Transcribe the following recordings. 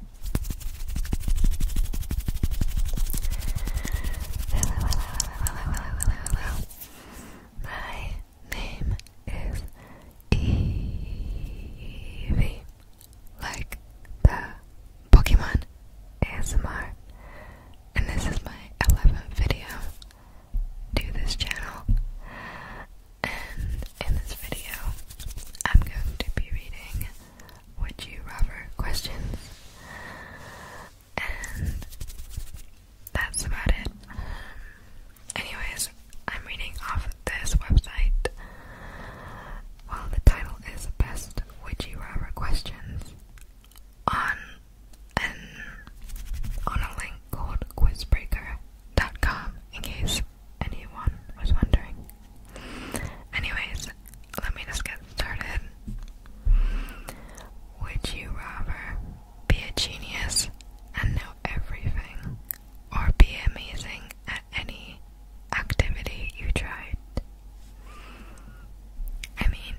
My name is Eevee, like the Pokemon ASMR, and this is my 11th video to this channel. And in this video, I'm going to be reading would you rather questions. And that's about it. Anyways, I'm reading off this website. Well, the title is Best Would You Rather Questions on an on a link called quizbreaker.com in case anyone was wondering. Anyways, let me just get started. Would you rather be a genius and know everything, or be amazing at any activity you tried? I mean,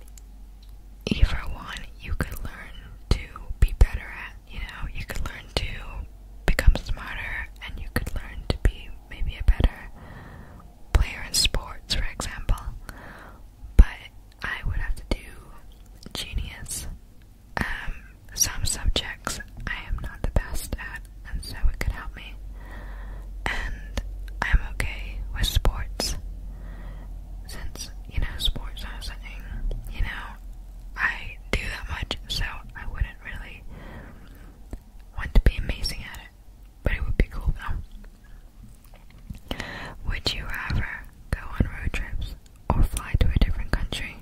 either one you could learn to be better at, you know, you could learn to become smarter and you could learn to be maybe a better player in sports, for example. But I would have to do genius. Um, some subjects I am not the best at, and so it could help me. And I'm okay with sports. Since, you know, sports are something, you know, I do that much, so I wouldn't really want to be amazing at it, but it would be cool though. Would you rather go on road trips or fly to a different country?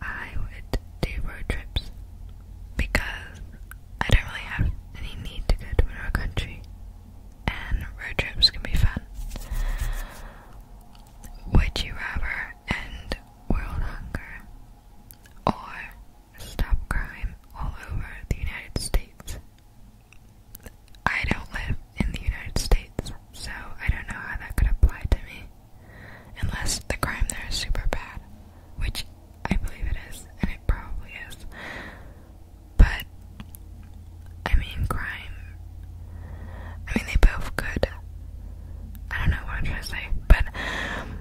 I would do road trips because I don't really have any need to go to another country, and road trips can be fun. Would you rather end world hunger or stop crime all over the United States. I don't live in the United States, so I don't know how that could apply to me. Unless the crime there is super bad, which I believe it is, and it probably is. But, I mean, crime. I mean, they both could I don't know what I'm trying to say, but um,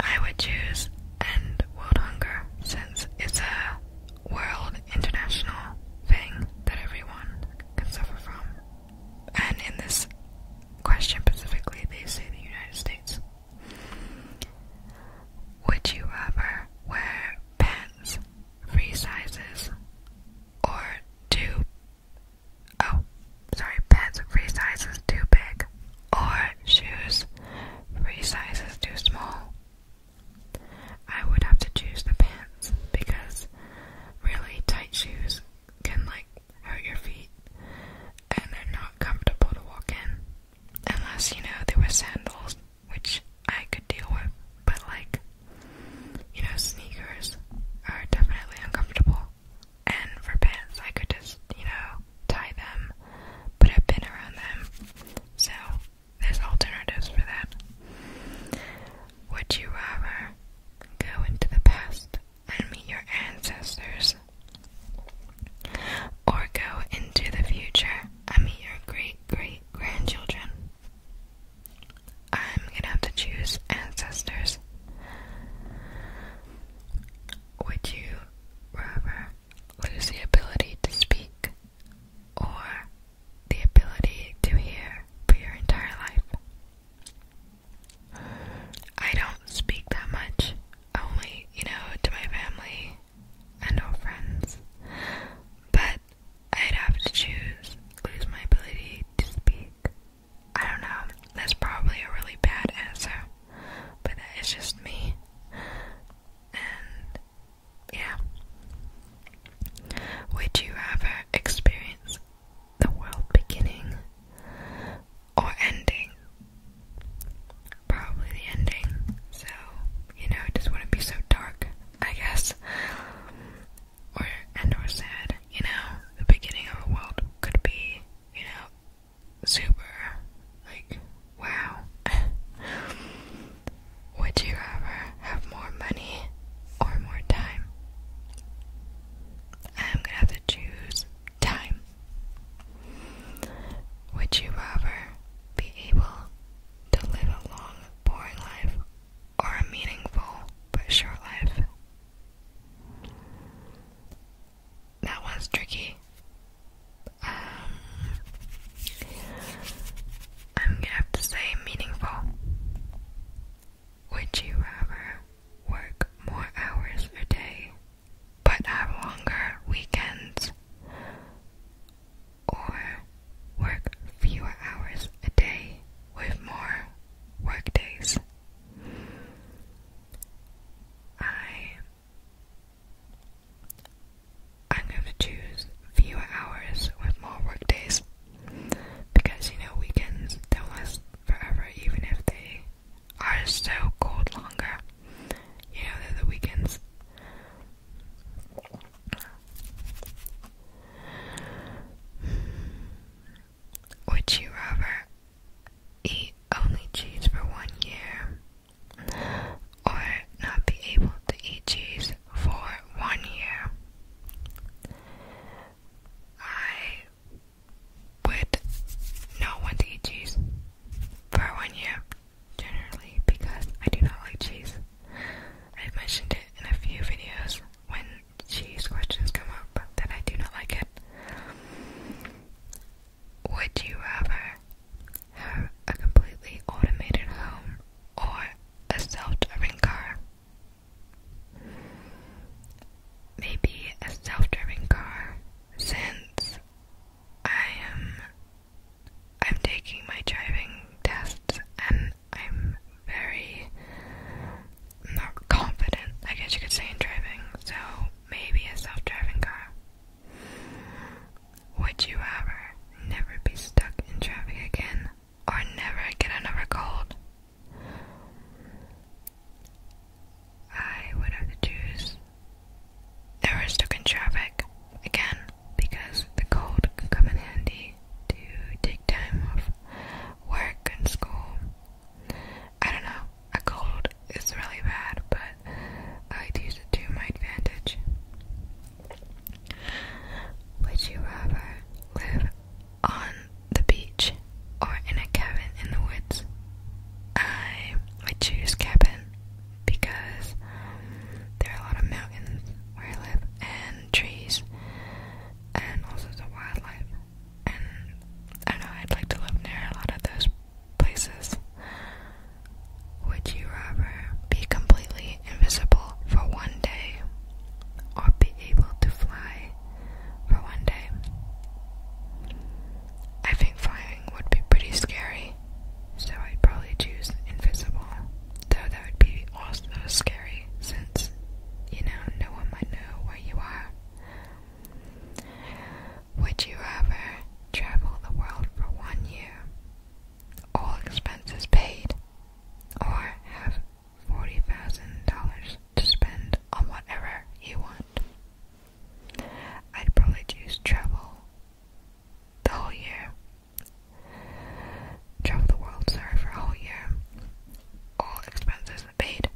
I would choose end world hunger since it's a world international thing that everyone can suffer from. And in this question specifically, they say the United States. Would you rather wear pants three sizes or two Oh, sorry, pants three sizes too big, or shoes three sizes too small. I would have to choose the pants because really tight shoes can like hurt your feet and they're not comfortable to walk in. Unless, you know, there were sandals, which I could deal with, but like, you know, sneakers are definitely uncomfortable and for pants I could just, you know, tie them, but I've been around them. So there's alternatives for that. Would you rather go into the past and meet your ancestors? Or go into the future and meet your great great grandchildren? I'm gonna have to choose ancestors. Would you rather lose the ability to speak or the ability to hear for your entire life? I don't speak that much, only, you know, to my family and our friends. But I'd have to choose lose my ability to speak I don't know, that's probably a really bad answer, but that is just me. And yeah. Would you rather experience the world beginning or ending? Probably the ending. So, you know, it just wouldn't be so dark, I guess or and or sad, you know, the beginning of the world could be, you know, super like wow. Would you ever have more money or more time? I'm gonna have to choose time. Would you rather be able to live a long, boring life or a meaningful but short life? That was tricky. Um, I'm gonna have to say meaningful. Would you rather work more hours a day but have longer weekends? Or work fewer hours a day with more work I I'm gonna choose fewer hours with more work days because you know weekends don't last forever even if they are still called longer. You the weekends. Would you rather eat only cheese for one year or not be able to eat cheese for one year? I would not want to eat cheese for one year, generally, because I do not like cheese. I've mentioned it in a few videos when cheese questions come up, then I do not like it. Would you rather have a completely automated home or a self-driving car? Maybe a self-driving car, since I am I'm taking my driving tests and I'm very not confident, I guess you could say, in driving. So maybe a self driving car. Would you ever never be stuck in traffic again or never get another cold? I would have to choose never stuck in traffic again because the cold can come in handy to take time off work and school I don't know. A cold is really bad, but I use it to my advantage. Would you rather live on the beach or in a cabin in the woods? I would choose cabin because there are a lot of mountains where I live and trees and also the wildlife and I know, I'd like to live near a lot of those places. Would you rather be completely invisible for one day or be able to fly for one day? I think flying would be pretty scary, so I'd probably choose invisible. Though that would be also scary since, you know, no one might know where you are. Would you ever travel the world for one year, all expenses paid, or have $40,000 to spend on whatever you want? I'd probably choose travel the whole year. Travel the world, sorry, for a whole year. All expenses paid.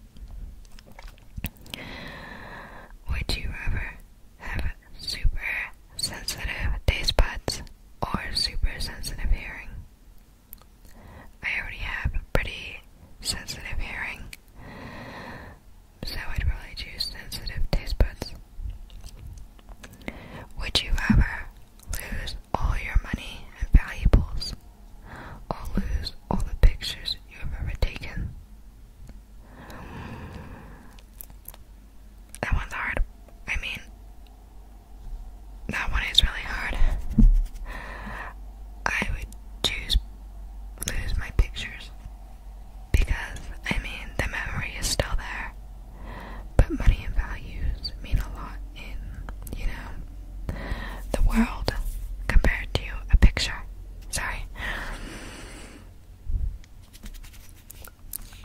Would you ever have super sensitive taste buds or super sensitive hearing? I already have pretty sensitive hearing, so I'd probably choose sensitive taste buds. Would you rather lose all your money and valuables I'll lose all the pictures you have ever taken. That one's hard. I mean, that one is really hard. I would choose lose my pictures because, I mean, the memory is still there, but money and values mean a lot in, you know, the world compared to a picture. Sorry.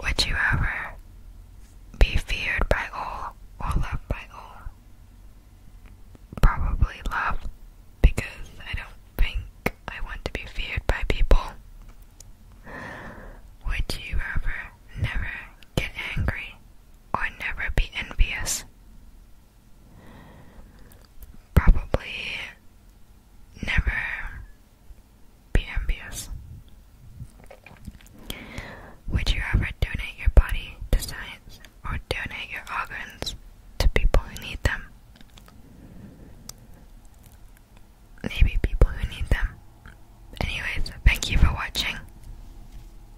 Would you ever be feared by all or loved by all? Probably love, because I don't think I want to be feared by people. Would you ever never get angry, or never be envious. Probably never be envious. Would you ever donate your body to science or donate your organs to people who need them? Maybe people who need them. Anyways, thank you for watching.